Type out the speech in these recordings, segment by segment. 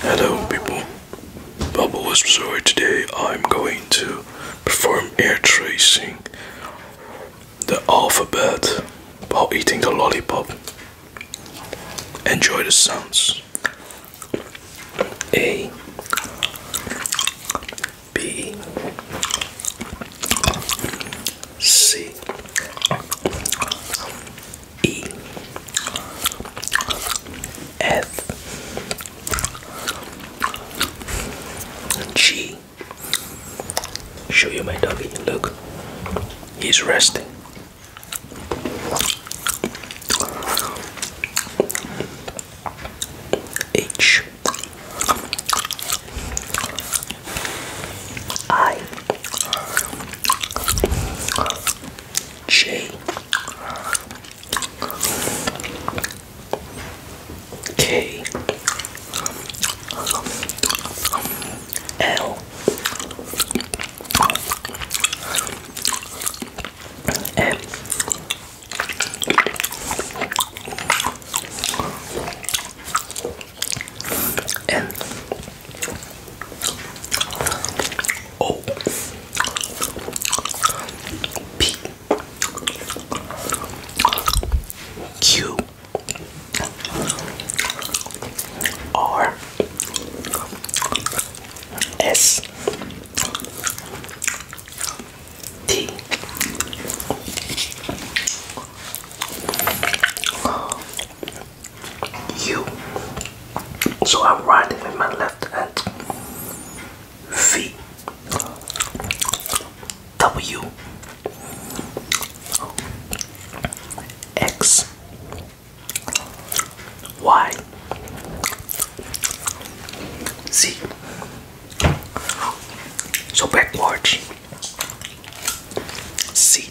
Hello people, Bubble was Whisperer. Today I'm going to perform air tracing the alphabet while eating the lollipop. Enjoy the sounds. A B C E F G. Show you my doggy. Look, he's resting. H I J K L M N Oh, P, Q, R, S, T. U. So I'm writing with my left hand. V. W. X. Y. Z. So backwards. C.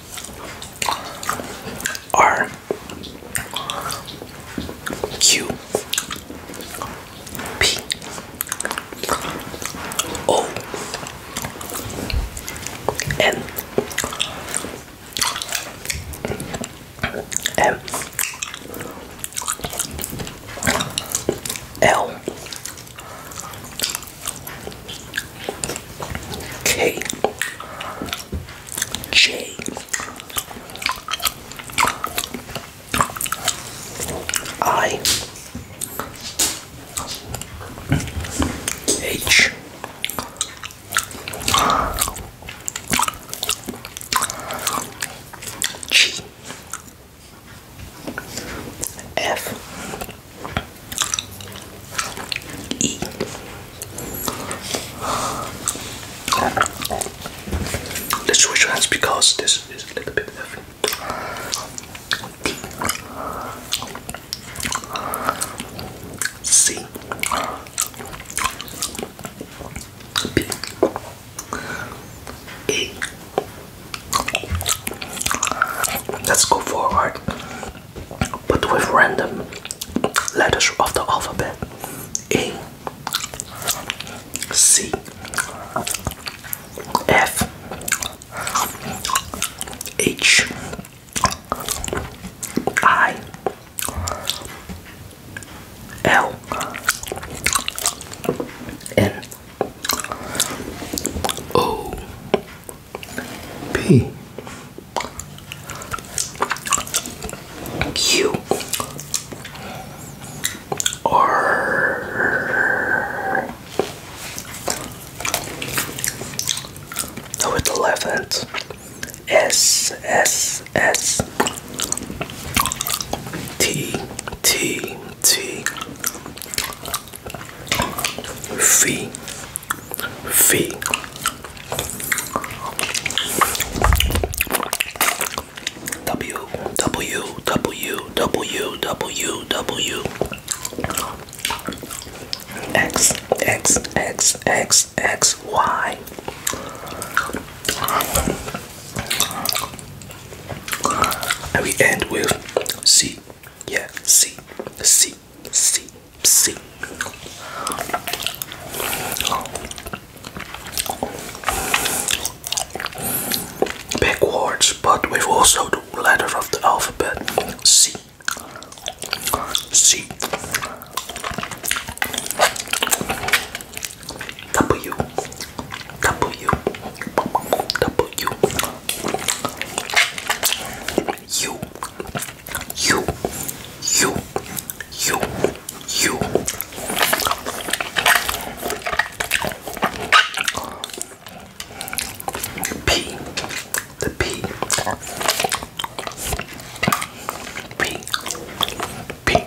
R Q P O N M L K J I H G F E Let's switch hands because this is a little bit heavy. D C B A Let's go forward, but with random letters of the alphabet. A, C, F, H, I, L, N, O P Q R with eleventh S S S T T T, F, F, W, W, W, W, W, W, X, X, X, X, X, Y. And we end with C. Yeah, C, C, C, C. Backwards, but with also the letter of the alphabet C. C. W, W, W, U, U, U, U, U. P, the P, P, P,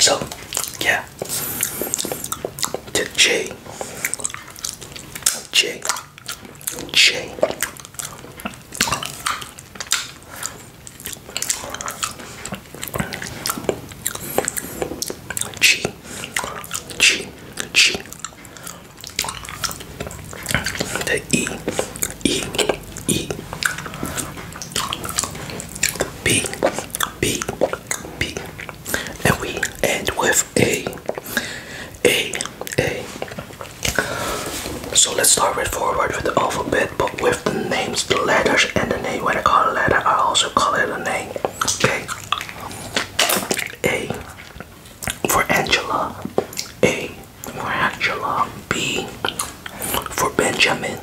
So, yeah. The J. J. J. G. G. G. The E. E. E. B. B. B. And we end with A. A. A. So let's start right forward with the alphabet, but with the names, the letters, and the name. When I call a letter, I also call it a name. Okay. A. For Angela. A. B for Benjamin.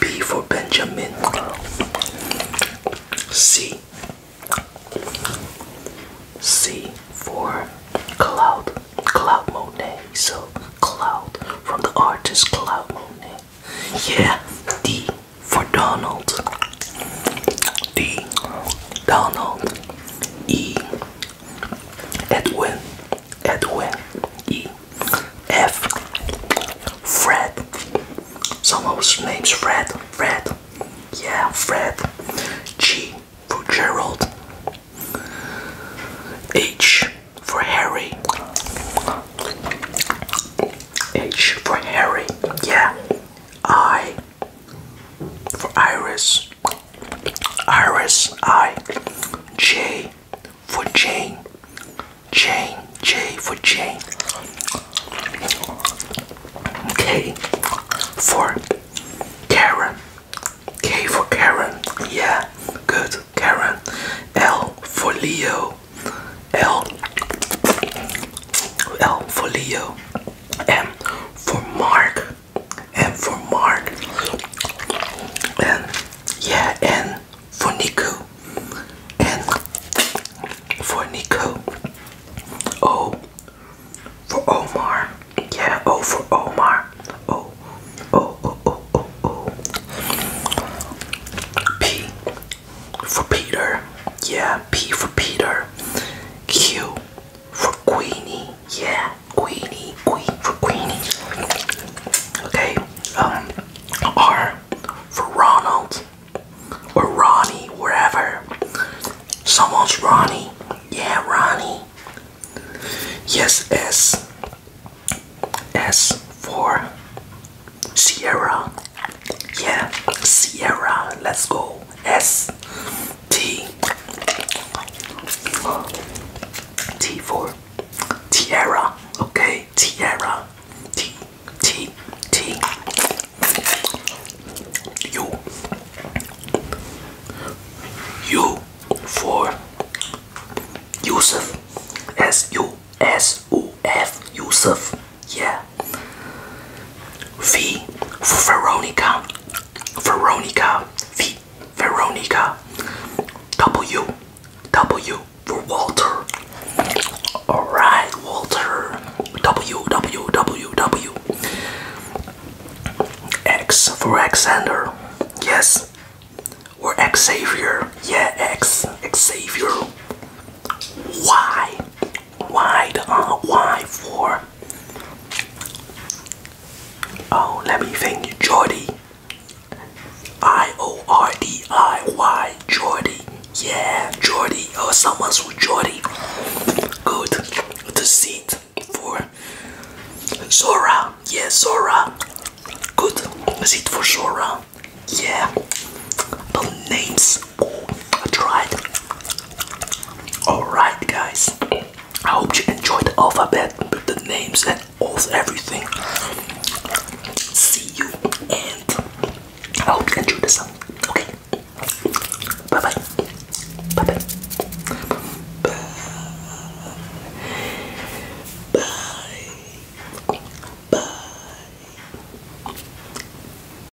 B for Benjamin. C. C for Cloud. Cloud Monet. So Cloud from the artist Cloud Monet. Yeah. D for Donald. D. Donald. E. Edwin. Edwin, E, F, Fred. Some of his names Fred, Fred, yeah, Fred. G for Gerald, H for Harry, H for Harry, yeah. I for Iris, Iris I J for Jane Jane J for Jane K for Karen K for Karen yeah good Karen L for Leo L L for Leo M for Mark and for Mark and yeah and for Nico and for Nico O for Omar yeah O for Omar O O O O O O P for Peter yeah P for Peter Q for Queenie yeah Queenie, Queen for Queenie. Okay, um, R for Ronald or Ronnie, wherever. Someone's Ronnie. Yeah, Ronnie. Yes, S. S for Sierra. Yeah, Sierra. Let's go. S. T T for Tierra. Okay, Tierra. T T T U U for Yusuf. S U S U F Yusuf. Yeah. V for Veronica. Veronica V Veronica W W for Walter. Alright, Walter W W W W X for Alexander. Yes. Or Xavier. Yeah, X Xavier. Y. Y uh, Y for Oh, let me think, Jordy. I O R D I Y, Jordy. Yeah, Jordy. Oh, someone's with Jordy. Good. The seat for Zora. Yeah, Zora. Good. The seat for Zora. Yeah. The names I tried. Alright, guys. I hope you enjoyed the alphabet with the names and all everything. See you, and I hope you enjoyed this song. Okay. bye. Bye bye. Bye. Bye. Bye.